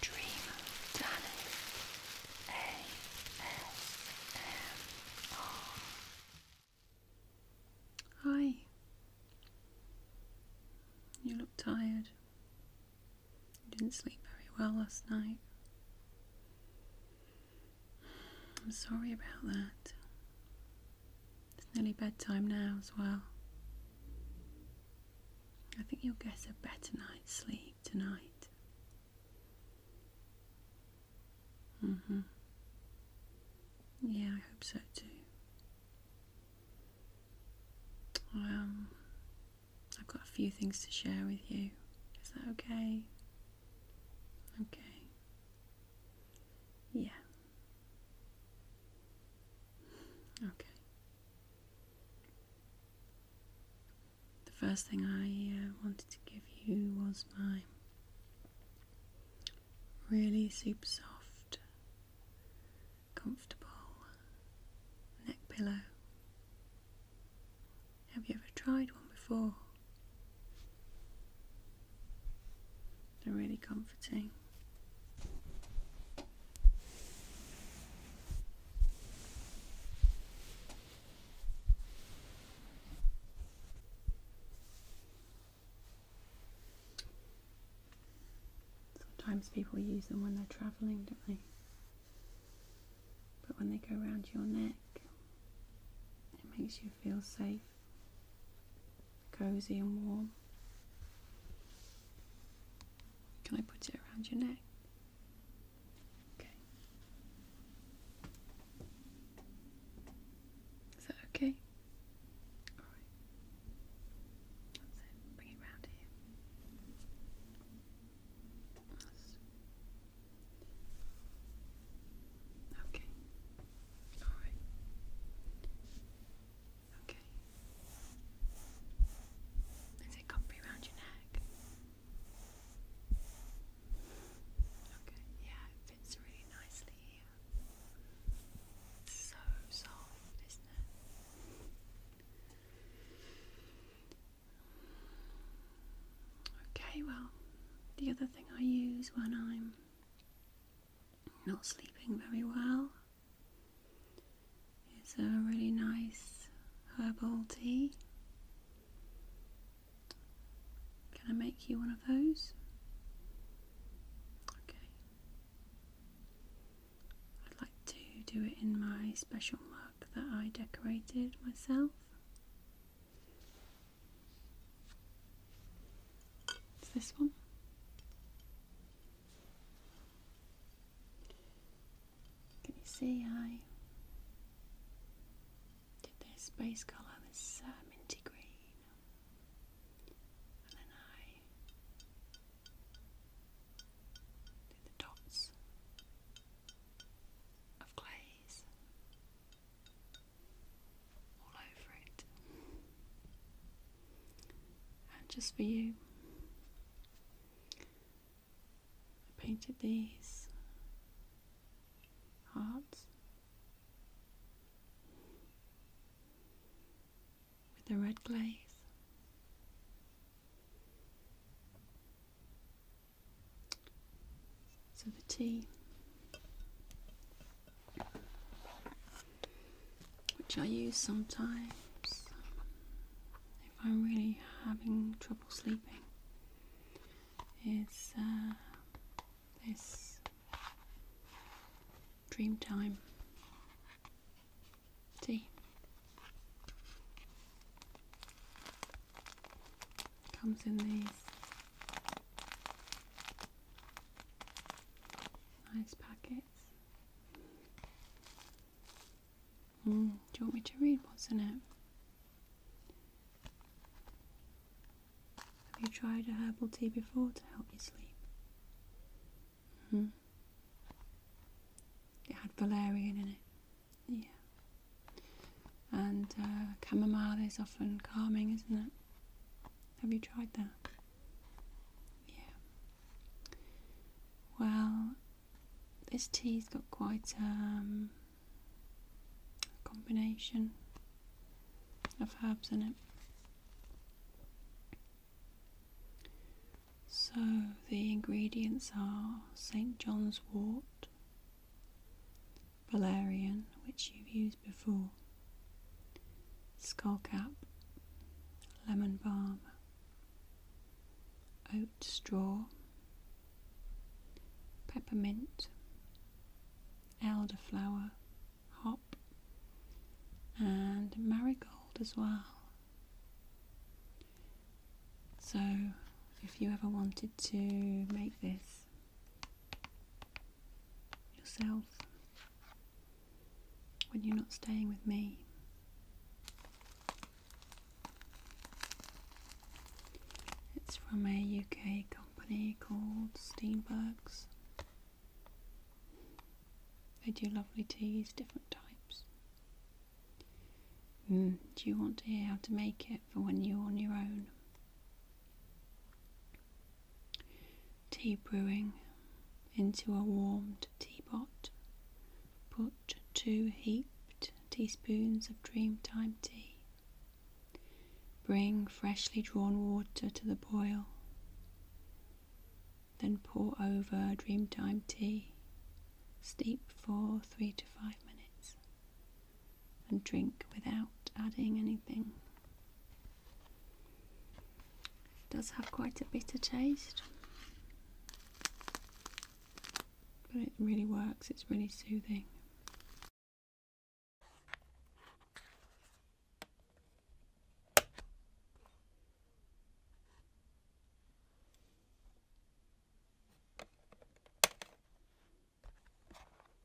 Dream Dennis ASMR. Hi. You look tired. You didn't sleep very well last night. I'm sorry about that. It's nearly bedtime now as well. I think you'll get a better night's sleep tonight. hmm. Yeah, I hope so too. Um, I've got a few things to share with you. Is that okay? Okay. Yeah. Okay. The first thing I uh, wanted to give you was my really super soft, comfortable neck pillow. Have you ever tried one before? They're really comforting. Sometimes people use them when they're travelling, don't they? But when they go around your neck, it makes you feel safe, cozy, and warm. Can I put it around your neck? Okay. Is that okay? All right. That's it. Bring it round here. That's Okay. All right. Okay. Is it comfy around your neck? Okay, yeah, it fits really nicely here. It's so soft, isn't it? Okay, well, the other thing I use when I'm not sleeping very well. It's a really nice herbal tea. Can I make you one of those? Okay. I'd like to do it in my special mug that I decorated myself. It's this one. Can you see I did this base colour, this minty green, and then I did the dots of glaze all over it and just for you. I painted these hearts with the red glaze. So the tea which I use sometimes if I'm really having trouble sleeping, is uh, this Dreamtime tea. Comes in these nice packets. Mm, do you want me to read what's in it? Have you tried a herbal tea before to help you sleep? Mm. It had valerian in it. Yeah. And uh, chamomile is often calming, isn't it? Have you tried that? Yeah. Well, this tea's got quite um, a combination of herbs in it. So the ingredients are St. John's wort, valerian, which you've used before, Skullcap, Lemon Balm, Oat Straw, Peppermint, Elderflower, Hop, and Marigold as well. So, if you ever wanted to make this yourself when you're not staying with me. It's from a UK company called Steenbergs. They do lovely teas, different types. Mm, do you want to hear how to make it for when you're on your own? Tea brewing into a warmed teapot. Put two heaped teaspoons of Dreamtime tea. Bring freshly drawn water to the boil. Then pour over Dreamtime tea. Steep for three to five minutes. And drink without adding anything does have quite a bitter taste, but it really works, it's really soothing.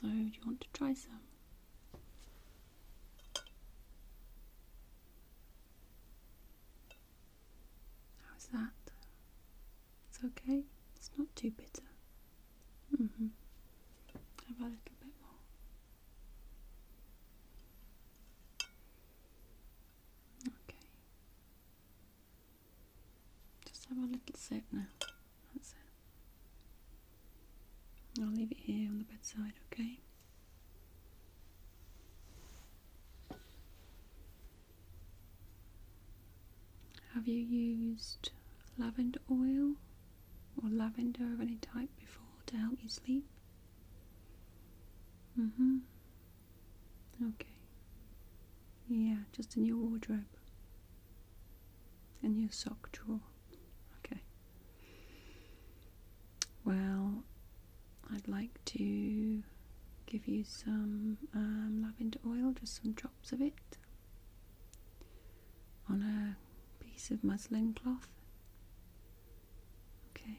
So, do you want to try some? How is that? It's okay. It's not too bitter. Mm hmm. Have a little bit more. Okay. Just have a little sip now. That's it. I'll leave it here on the bedside, okay? Have you used lavender oil or lavender of any type before to help you sleep? Mm hmm. Okay. Yeah, just in your wardrobe and your sock drawer. Okay. Well, I'd like to give you some um, lavender oil, just some drops of it, on a piece of muslin cloth. Okay.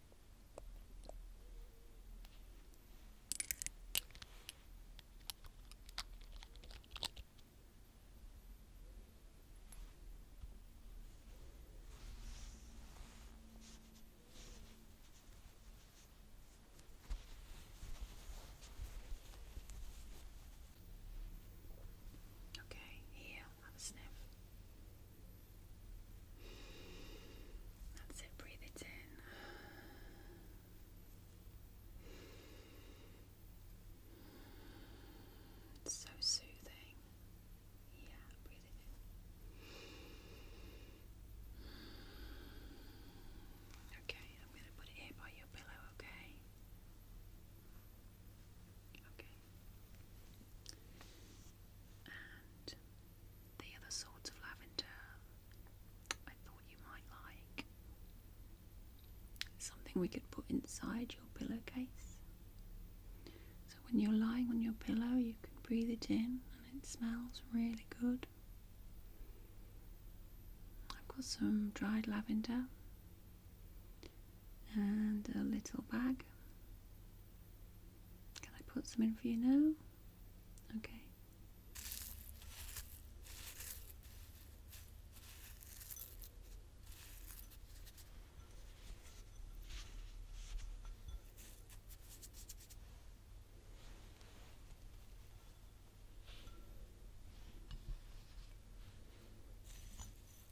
Okay, here have a sniff. That's it, breathe it in. so soothing. Yeah, Okay, I'm going to put it here by your pillow, okay? Okay. And the sorts of lavender I thought you might like. Something we could put inside your pillowcase. So when you're lying on your pillow, you can breathe it in and it smells really good. I've got some dried lavender and a little bag can I put some in for you now? Okay.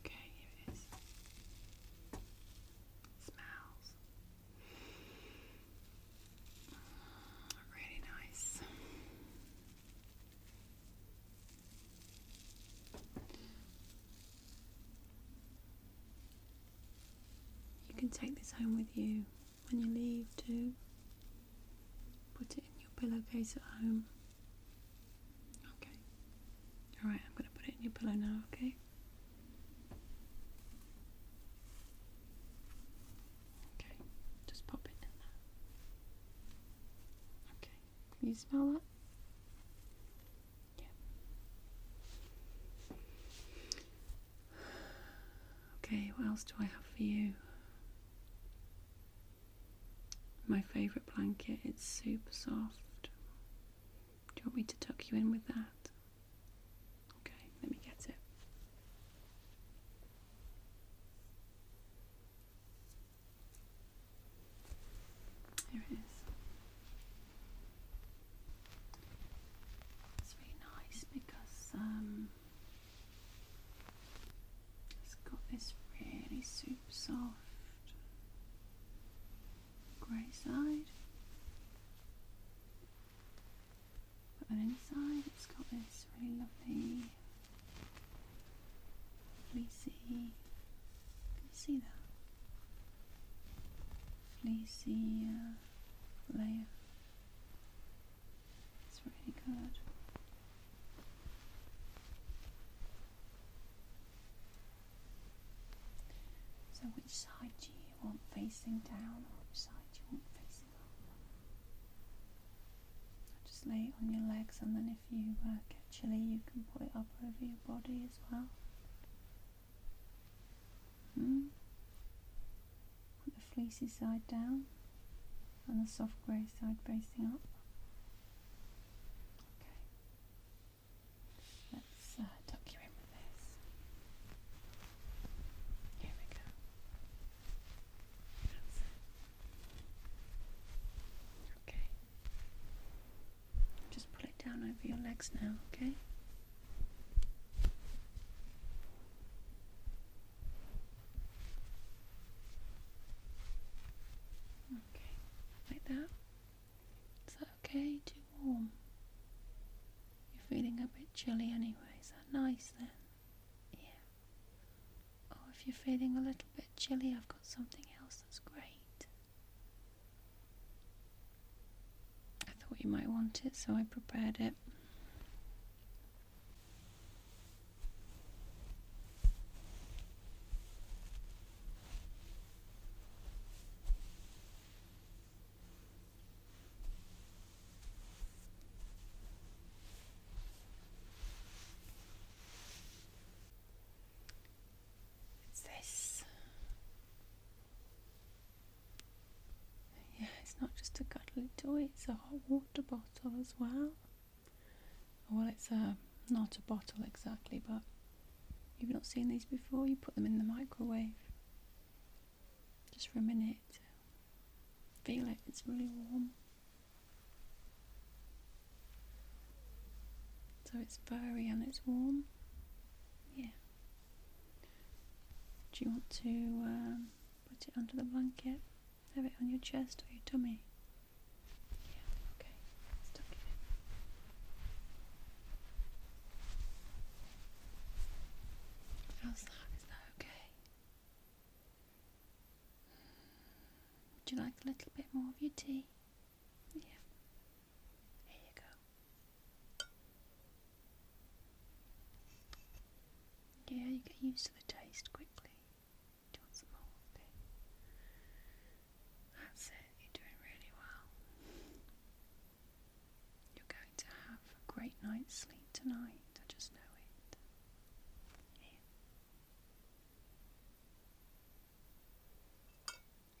Okay, here it is. Smells mm, really nice. You can take this home with you when you leave too. Put it in your pillowcase at home. Okay. Alright, I'm going to put it in your pillow now, okay? Okay, just pop it in there. Okay, can you smell that? Yeah. Okay, what else do I have for you? My favourite blanket, it's super soft. Do you want me to tuck you in with that? Okay, let me get it. Here it is. It's really nice because um, it's got this really super soft grey side. But then inside it's got this really lovely fleecy, can you see that? Fleecy uh, layer. It's really good. So which side do you want facing down which side do you want facing up? just lay it on your legs and then if you uh, get chilly you can put it up over your body as well. Hmm? Put the fleecy side down and the soft grey side facing up. Okay. Let's uh, tuck you in with this. Here we go. Okay. Just pull it down over your legs now, Okay. Okay, like that. Is that okay? Too warm? You're feeling a bit chilly anyway. Is that nice then? Yeah. Oh, if you're feeling a little bit chilly, I've got something else that's great. I thought you might want it, so I prepared it. It's this. Yeah, it's not just a cuddly toy, it's a hot water bottle as well well it's a uh, not a bottle exactly but you've not seen these before you put them in the microwave just for a minute feel it it's really warm so it's furry and it's warm yeah do you want to um, put it under the blanket have it on your chest or your tummy. Yeah, okay. How's that? Is that okay? Would you like a little bit more of your tea? Yeah. Here you go. Yeah, you get used to the taste quickly. That's it, you're doing really well. You're going to have a great night's sleep tonight, I just know it.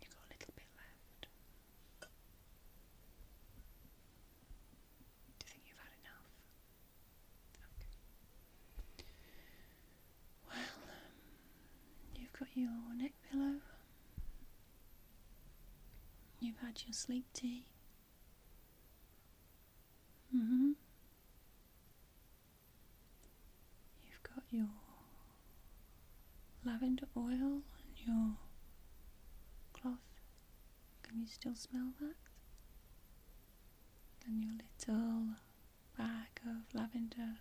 You've got a little bit left. Do you think you've had enough? Well, um, you've got your neck pillow. You've had your sleep tea. Mm hmm You've got your lavender oil and your cloth. Can you still smell that? and your little bag of lavender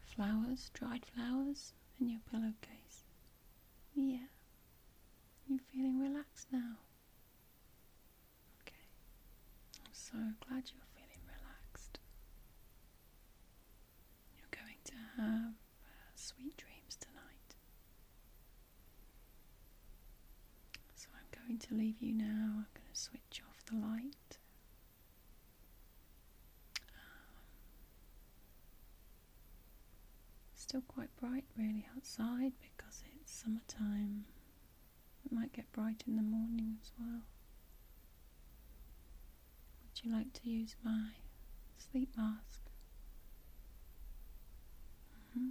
flowers, dried flowers, and your pillowcase. Yeah. You are feeling relaxed now? Okay. I'm so glad you're feeling relaxed. You're going to have uh, sweet dreams tonight. So I'm going to leave you now. I'm going to switch off the light. Um, still quite bright, really, outside because it's summertime. It might get bright in the morning as well. Would you like to use my sleep mask? Mm-hmm.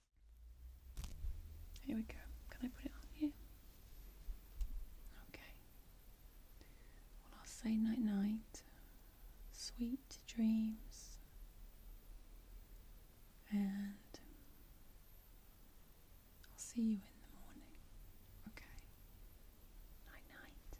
Here we go. Can I put it on here? Okay. I'll say night night. Sweet dreams. And I'll see you in the morning. Okay. Night night.